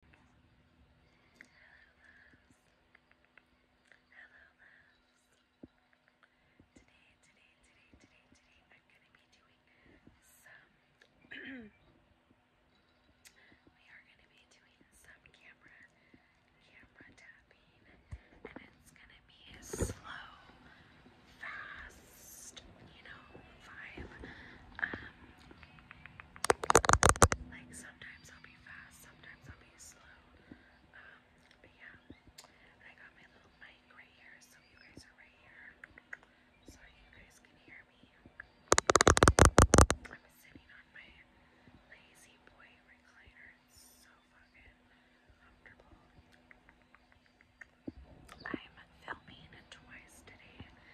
Hello Today, today, today, today, today, I'm gonna be doing some we are gonna be doing some camera camera tapping and it's gonna be a slow, fast, you know, vibe. Like sometimes I'll be fast, sometimes I'll be slow. Um, but yeah, I got my little mic right here, so you guys are right here. So you guys can hear me. I'm sitting on my lazy boy recliner. It's so fucking comfortable. I'm filming twice today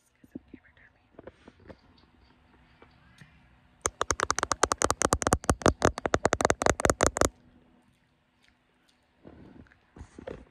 first because of camera darling. Relax. Relax.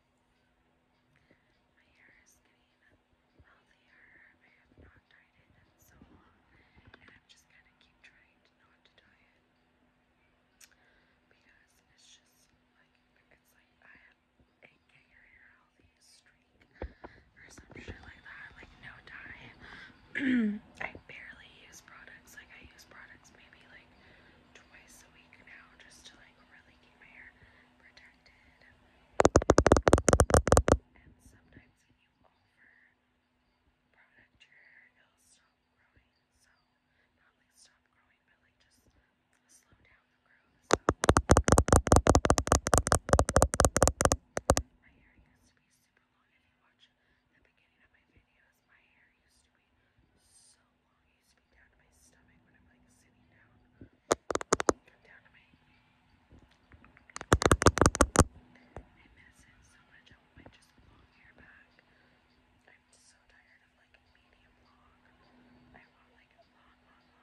My hair is getting healthier. I have not dyed it so and I'm just gonna keep trying not to dye it because it's just like it's like I have a hair healthy streak or some like that. Like no dye. I barely use products. Like I use products maybe like twice a week now just to like really keep my hair protected. And sometimes when you over product your hair, it'll stop growing. So not like stop growing, but like just slow down the growth. my hair used to be super long. If you watch beginning of my videos, my hair used to be so longings be down to my stomach when I'm like sitting down. Come down to my. I miss it so much. I want my just long hair back. I'm so tired of like medium long. I want like long, long,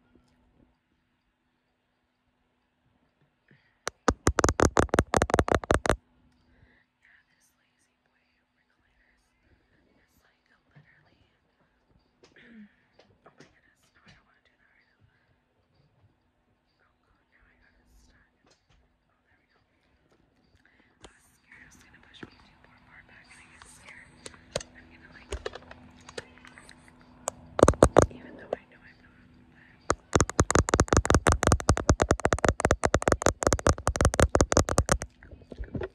Yeah, this lazy boy recliners is like literally. oh my goodness, I don't want to do that right now. now I got it stuck. Oh, there we go. I was scared it gonna push me too far far back I get scared, I'm gonna like, even though I know I'm not, but Relax, relax.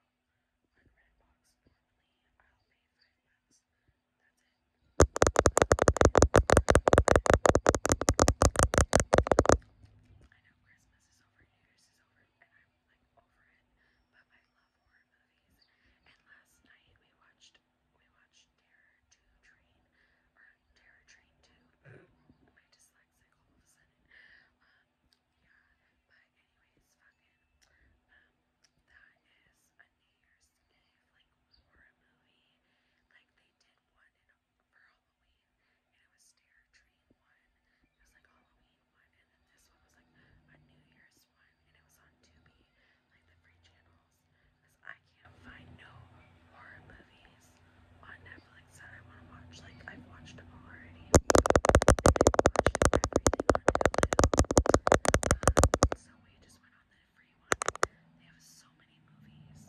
now on Redbox. Normally, I'll pay five bucks. That's it. I know Christmas is over, New Year's is over, and I'm like over it. But I love horror movies. And last night we watched we watched Terror Two Train or Terror Train Two. My dyslexic all of a sudden. Uh, yeah, but anyways, fucking, um, that is a New Year's Eve, like, horror movie, oh, like, they did one for Halloween, and it was Dare Dream one, it was, like, Halloween one, and then this one was, like, a New Year's one, and it was on Tubi, like, the free channels, because I can't find no horror movies on Netflix that I want to watch. Like, I've watched them all already. I've watched everything on Hulu. Um, so we just went on the free one. They have so many movies.